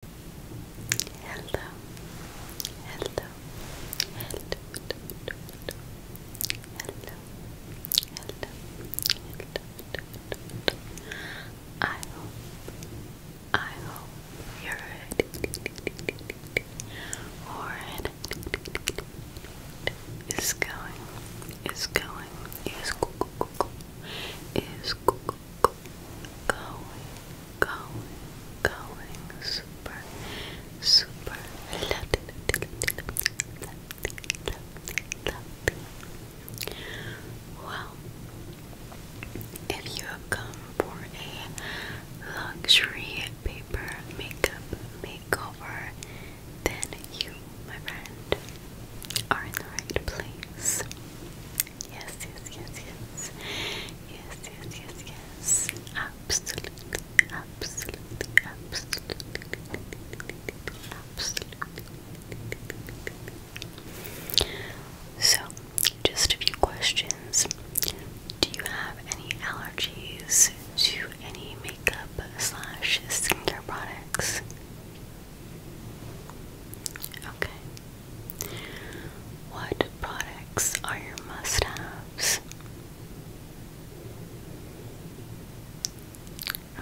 Hello, hello, hello, hello, hello, hello, I hope, I hope you're ready or is going, is going, is go, go, go, go. is go, go, going, going, going, super, super, Well, if you have come for a luxury paper makeup makeover, then you, my friend, are in the right place. Yes, yes, yes, yes. Yes, yes, yes, yes. Absolutely, absolutely, absolutely, absolutely. So, just a few questions. Do you have any allergies to any makeup slash skincare products? Okay. What products are your must haves?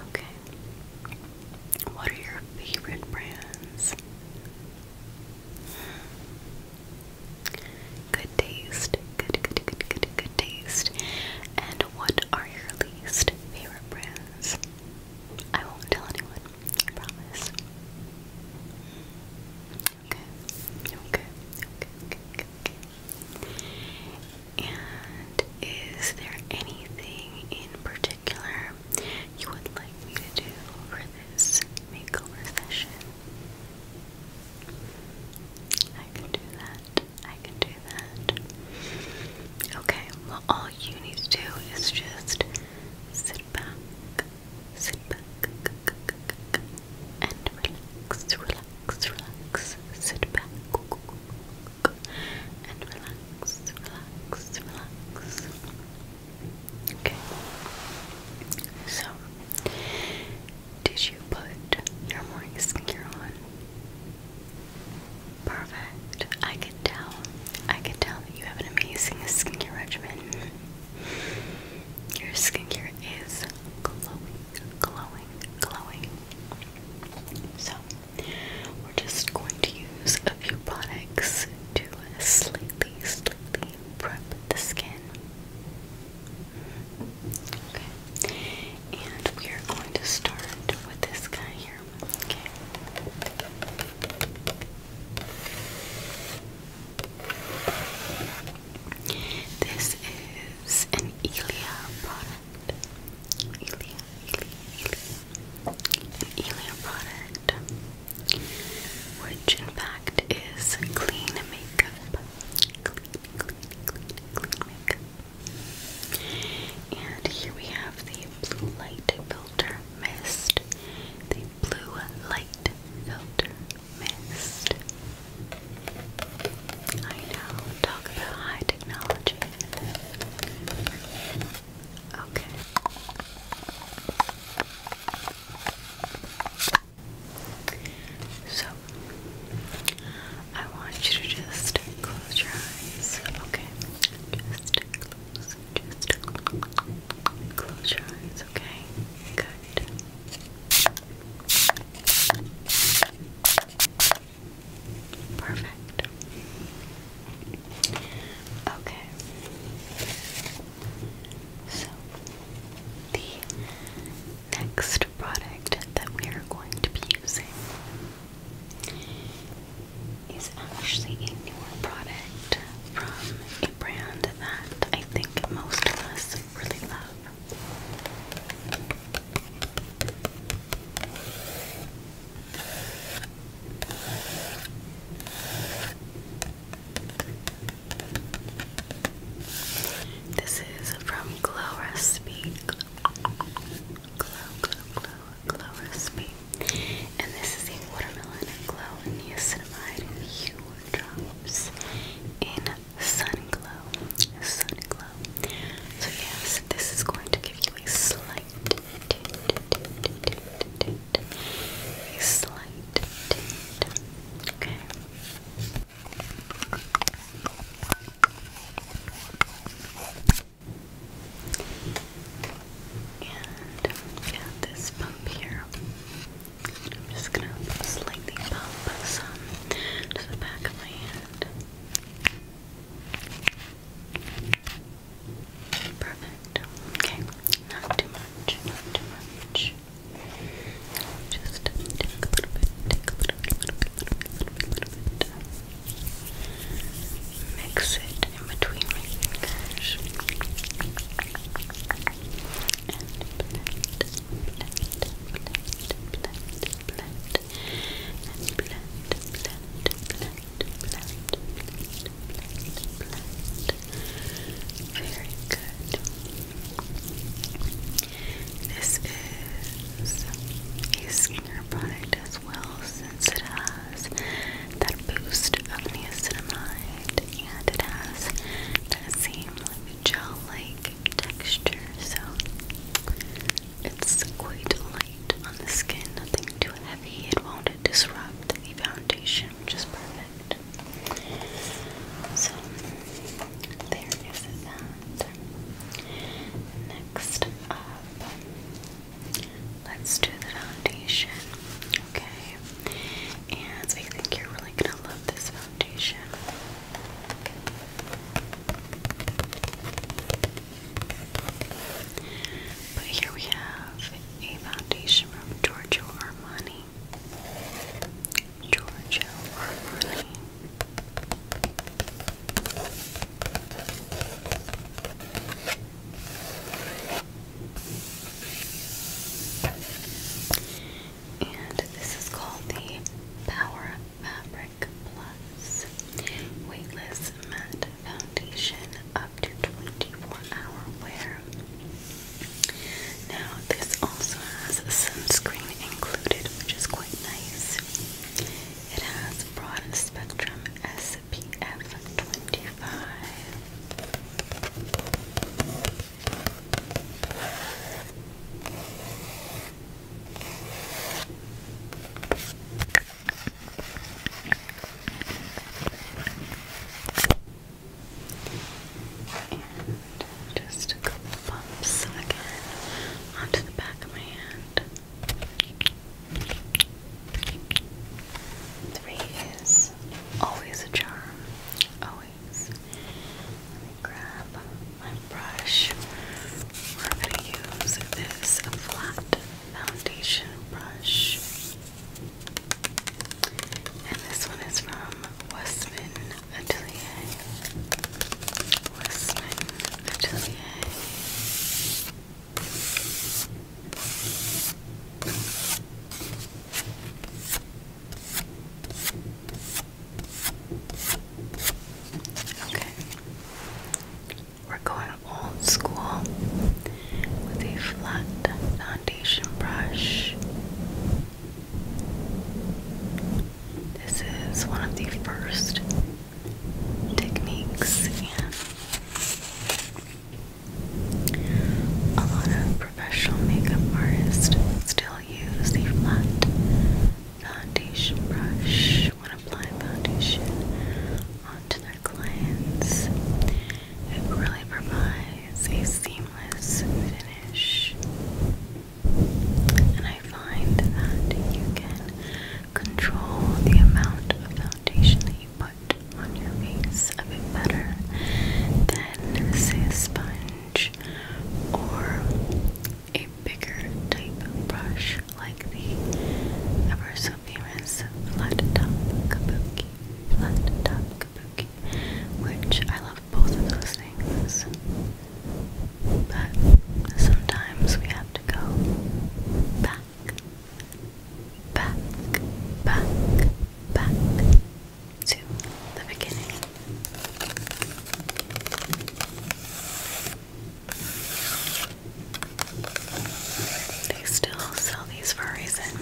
Okay. What are your favorite brands? Good taste. Good, good, good, good, good taste. And what are your least favorite brands? I won't tell anyone. I promise. Okay. Okay. Okay. Okay. Okay. And is there anything in particular you would like me to do for this makeover session? I can do that. I can do that. Okay, all you need to do is just Sit back, sit back, and relax, relax, relax. Sit back and relax, relax, relax. Okay. So, did you put your morning skincare on? Perfect. I can can tell. I can tell that you have an amazing skincare regimen. Your skincare is glowing, glowing, glowing. So, we're just going to use a few products to slightly, slightly prep the skin. Okay. And we are going to start with this guy here. Okay. This is an Elia product. Elia, Elia, Elia. product, which in fact is clean makeup. Clean, clean, And here we have the blue light filter mist, the blue light filter mist. I know, talk about high technology. Okay. So, I want you to just close your eyes, okay? Just close just close your eyes, okay? Good. Perfect. Okay. So, the next product that we are going to be using is actually a newer product from a brand that I think most of us really love. This is from Glow Recipe. Glow, glow, glow, glow recipe. And this is a watermelon glow in niacinamide and hue drops in sun glow. Sun glow. So yes, this is going to give you a slight a slight tint. Okay. And got this pump here. I'm just gonna slightly pump some to the back of my hand. Perfect. Okay, not too much, not too much. Just take a little bit, take a little bit, little little bit, little little bit mix it in between my fingers Very good. This is a skincare product as well since it has that boost of niacinamide and it has that same gel-like texture so it's quite light on the skin, nothing too heavy, it won't disrupt the foundation which is perfect. So there is that. Next up Let's do the foundation, okay? And I think you're really gonna love this foundation. But here we have a foundation from Giorgio Armani. Giorgio Armani. And this is called the Power Fabric Plus Weightless Matte Foundation up to 24 hour wear. Now, this also has sunscreen included, which is quite nice. It has broad spectrum SPF PF 25. just a couple bumps again onto the back of my hand. Three is always a charm. Always. Let me grab my brush. We're going to use this flat foundation brush. And this one is from Westman Atelier. Westman Atelier. Okay. We're going old school with a flat foundation brush. This is one of the first techniques and a lot of professional makeup artists still use the flat foundation brush when applying foundation onto their clients. It really provides a seamless finish. And I find that you can control the amount of foundation that you put on your face a bit better than, say, a sponge or a bigger type brush like the ever so famous flat top kabuki. Flat top kabuki, which I love both of those things, but sometimes we have to go back back, back, back to the beginning. They still sell these for a reason,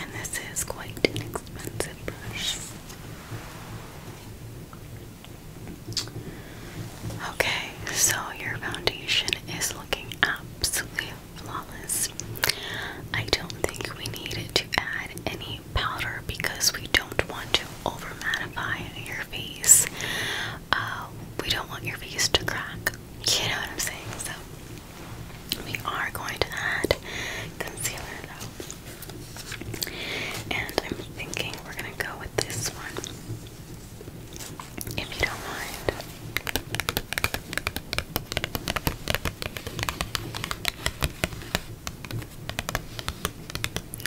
and this is quite an expensive brush. Okay, so your foundation is looking absolutely flawless. I don't think we need to add any powder because we don't want to over mattify your face. Uh, we don't want your face to crack. You know what I'm saying? So we are going to add concealer though. And I'm thinking we're gonna go with this one if you don't mind.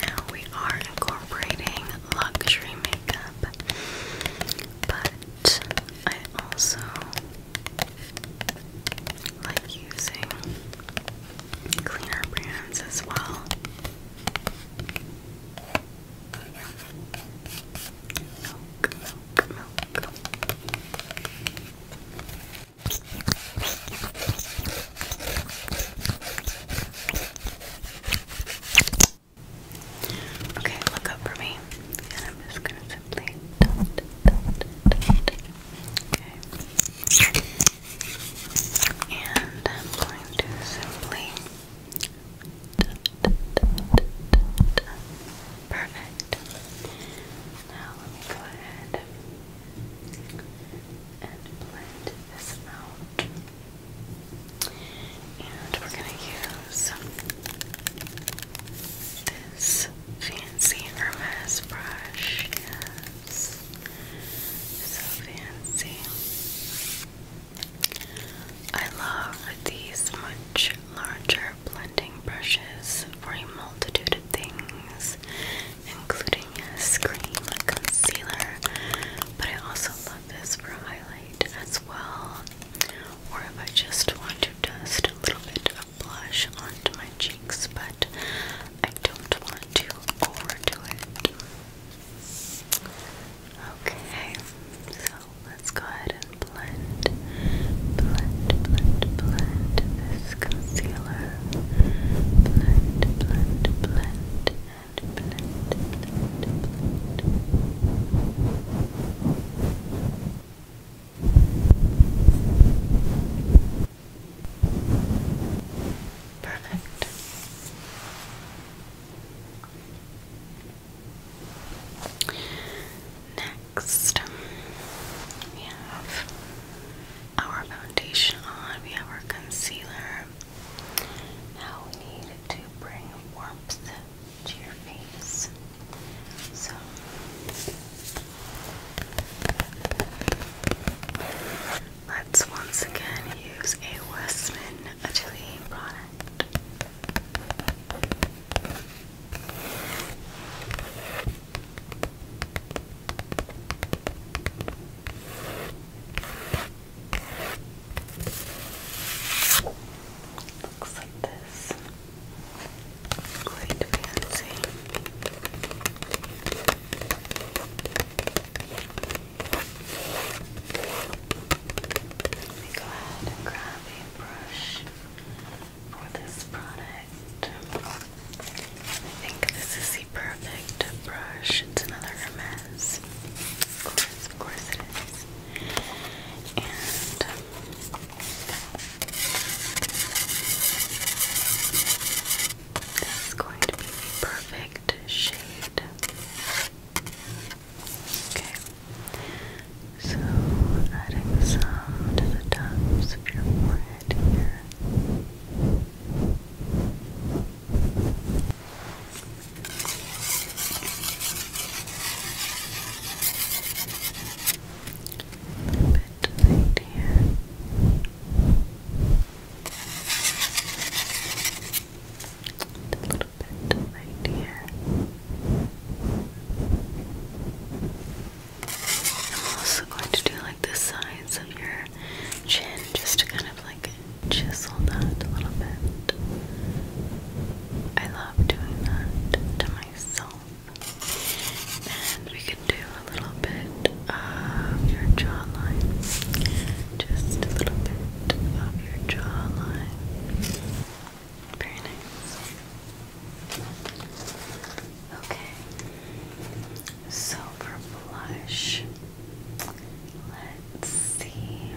Now we are incorporating luxury makeup, but I also like using cleaner brands as well. Okay, look up for me, and I'm just gonna simply Okay, and I'm going to simply Perfect. Now let me go ahead and blend this out. And we're going to use this fancy Hermes brush. Yes. So fancy. I love these much larger blending brushes for a multitude of things, including a cream concealer, but I also love this for highlight as well, or if I just want to dust a little bit of blush onto my cheeks, but I don't want to overdo it. Okay, so let's go ahead and blend, blend, blend, blend this concealer. Blend, blend, blend, and blend, blend, blend. Perfect. Next, we have our foundation on, we have our concealer. Now we need to bring warmth to your face. So Let's once again use a Westman Atelier product. Looks like this. Quite fancy go ahead and grab a brush for this product. I think this is the perfect brush. It's another Hermes. Of course, of course it is. And this is going to be perfect shade. Okay. So adding some to the tops of your forehead here. A bit right here a little bit right here. I'm also going to do like the sides of your chin just to kind of like chisel that a little bit. I love doing that to myself. And we can do a little bit of your jawline just a little bit of your jawline. Very nice. Okay. So for blush, let's see.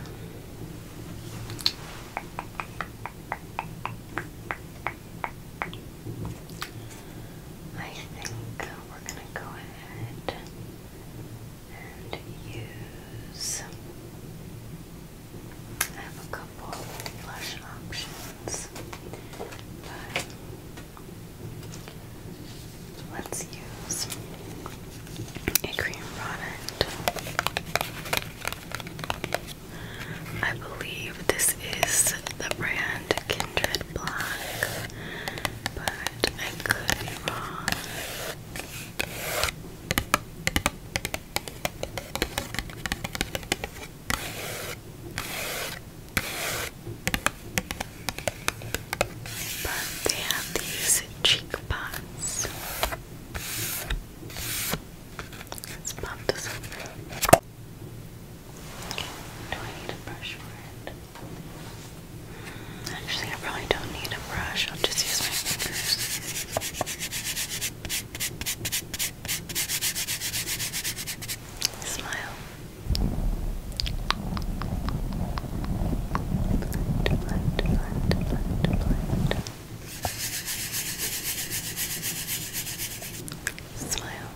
I think we're gonna go ahead and use. I have a couple blush options, but let's use a cream product. I believe this is the brand Kindred Black, but but I could be wrong. they have these cheek Let's pop this up. Do need a brush for it? Actually, I probably don't need a brush, I'll just use my fingers. Smile. Blend, blend, blend, blend, Smile.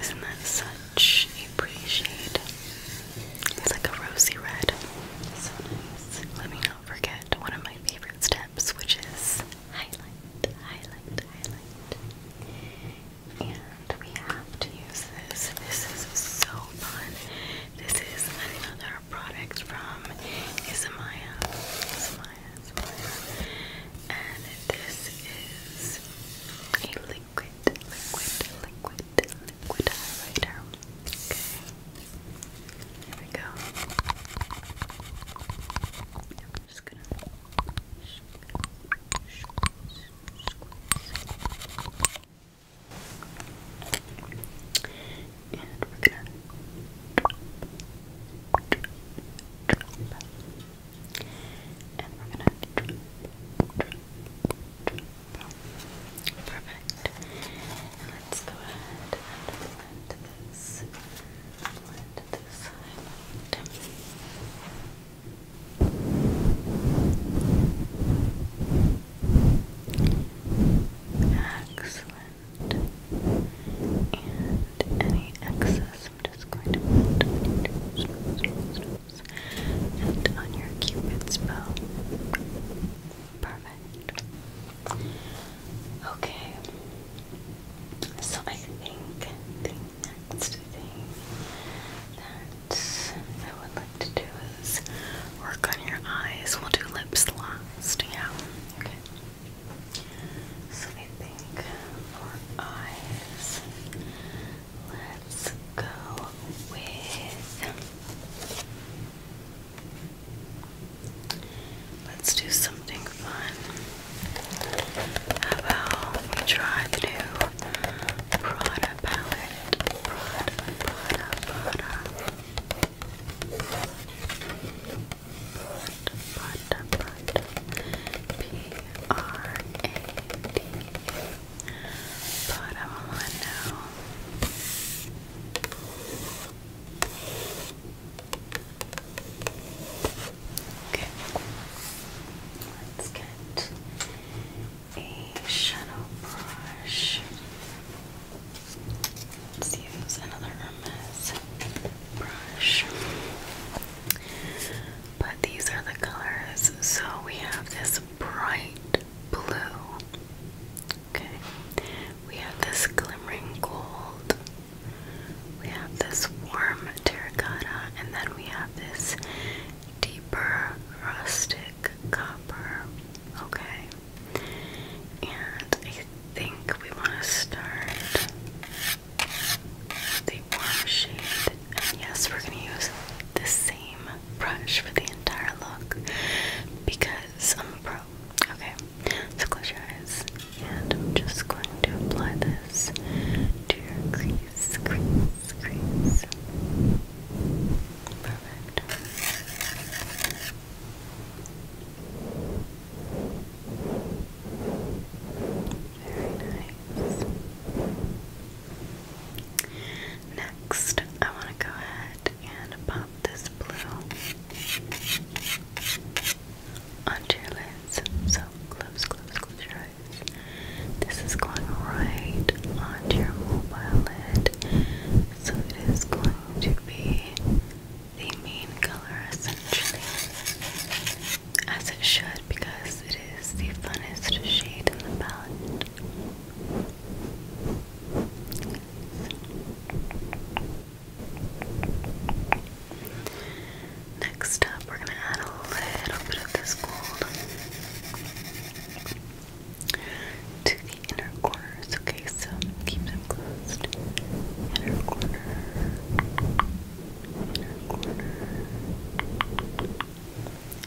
Isn't that such a pretty shade? It's like a rosy red. So nice. Let me not forget one of my favorite steps, which is highlight, highlight, highlight. And we have to use this. This is so fun. This is another product from Isamaya science one. And this is a liquid, liquid, liquid, liquid highlighter. Okay. There we go. I'm just gonna and we're gonna And we're gonna Perfect. let's go ahead and blend this. Blend this highlight. Excellent and any excess I'm just going to put on your nose, and on your cupid's bow. Perfect. Okay. So I think the next thing that I would like to do is work on your eyes. We'll do lips last. Yeah. Okay. So I think for eyes, let's go with. Let's do something fun. How about we try the new Prada palette? Prada, Prada, Prada. Put, P R A D. Put them on now. Okay. Let's get a shadow brush. Let's use another Hermes brush. But these are the colors. So we have this bright blue. Okay. We have this glimmering gold. We have this warm terracotta. And then we have this deeper rustic copper. Okay. And I think we want to start the warm shade. yes, we're going to use the same brush for the entire look because I'm a pro. Okay, so close your eyes. And I'm just going to apply this to your crease, crease, crease. Perfect. Very nice. Next, I want to go ahead and pop this blue onto your lids. So close, close, close your eyes. This is going right onto your mobile lid. So it is going to be the main color essentially, as it should because it is the funnest shade in the palette. Next up, we're going to add a little bit of this gold the inner corners. Okay, so keep them closed. Inner corner.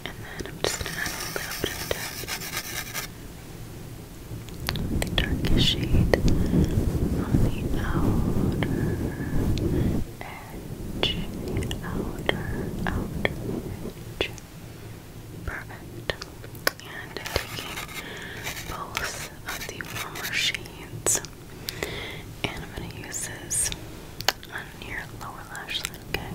And then I'm just gonna add a little bit of The darkest shade on the outer edge. outer, outer edge. Perfect. And taking both of the warmer shades. And I'm going to use this on your lower lash line, okay?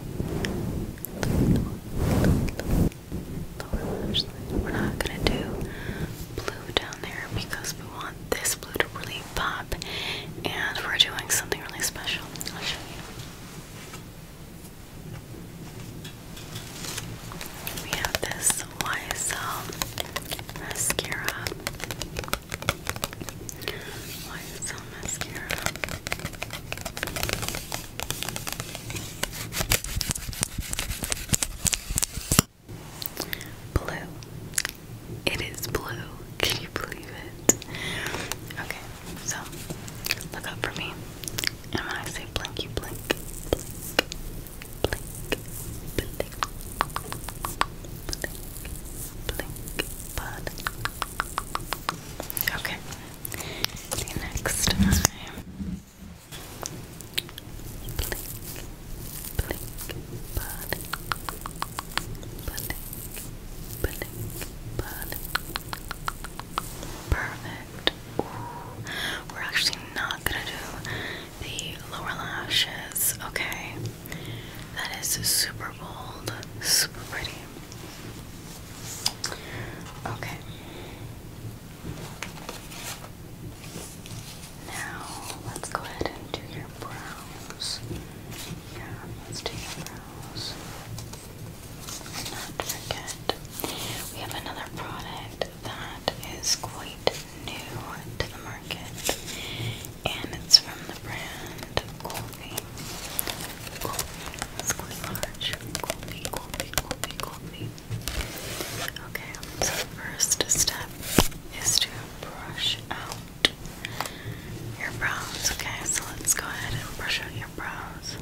Lower lash line. We're not going to do blue down there because we want this blue to really pop and we're doing something really special. I'll show you. We have this YSL mascara. YSL mascara. Blue. It is blue. Can you believe it? Okay, so look up for me. And when I say blink, you blink blink, blink, blink, bud. Okay. See you next time. Blink, blink, bud. Blink, blink, bud. Perfect we're actually not gonna do the lower lashes. Okay, that is super bold, super pretty. Okay. Now let's go ahead and do your brows. Yeah, let's do your brows. not forget, we have another product that is quite new to the market, and it's from the brand Colby. Colby, it's quite large. Colby, Colby, Colby, Colby. Okay, so first step is to brush out your brows. Okay, so let's go ahead and brush out your brows nose.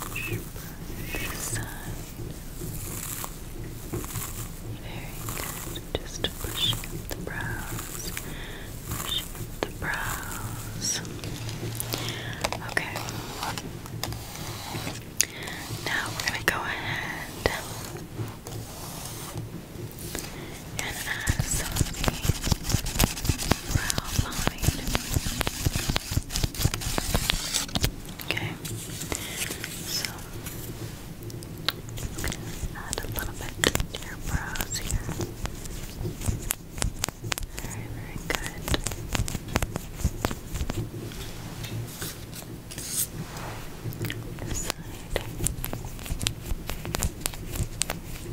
Brush, Very good. Just pushing the brows. Pushing the brows. Okay. Now we're going to go ahead and absolutely Okay, so add a little bit to your brows here. Very, very good. This side.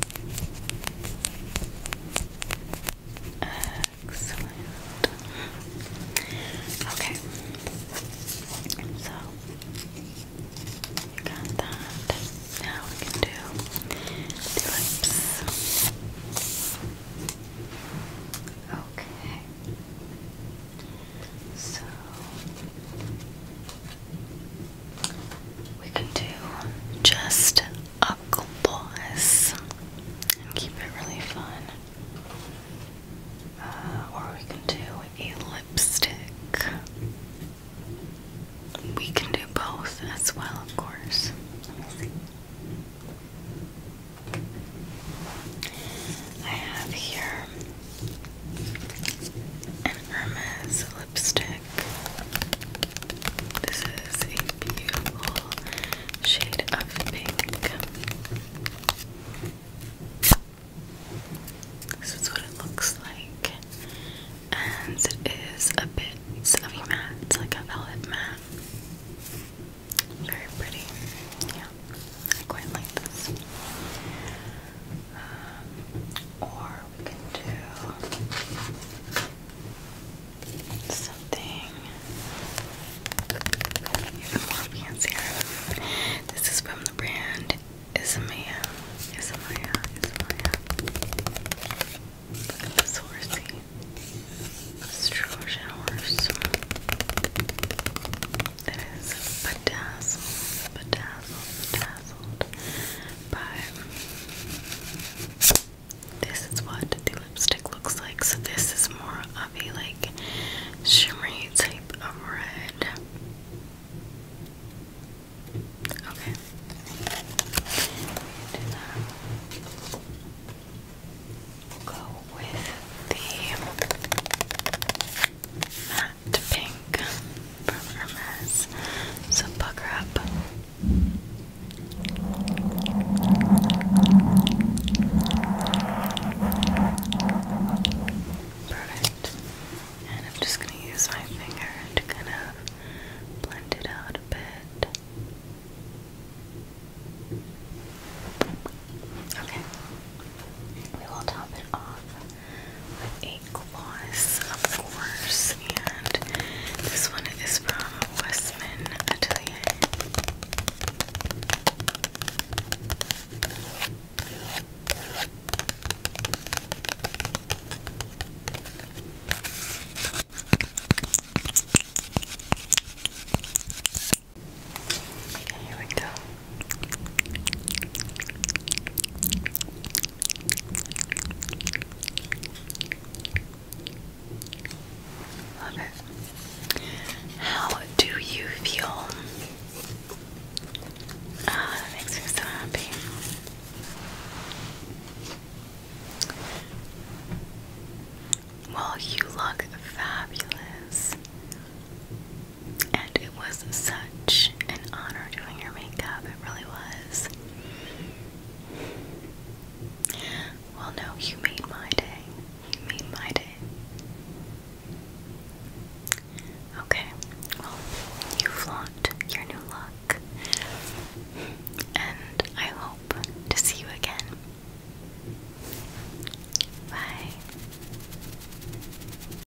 Excellent. Okay. So you got that. Now we can do lips. Okay. So we can do just a gloss and keep it really fun. Uh, or we can do a lipstick. We can do both as well, of course. I have here an Hermes lipstick. This is a beautiful shade of pink. This is what it looks like. And it is a bit of a matte, it's like a velvet matte. Very pretty. Yeah, I quite like this. Um, or we can do something even more fancier. This is from the brand Isamaya. Isamaya. Isamaya. Look at this horsey. This Trojan horse. It is bedazzled, bedazzled, but this is what the lipstick looks like. So this is more of a like shimmery type of red. Okay to pink from So pucker up. Perfect. And I'm just going to use my finger to kind of blend it out a bit. Okay. We will top it off with a gloss, of course, and this one is from Westman Here we go. Love it. How do you feel? Ah, that makes me so happy. Well, you look fabulous and it was such an honor doing your makeup. It really was. Well, no, you made my day. You made my day. Okay, well, you flaunt your new look, and I hope to see you again. Bye.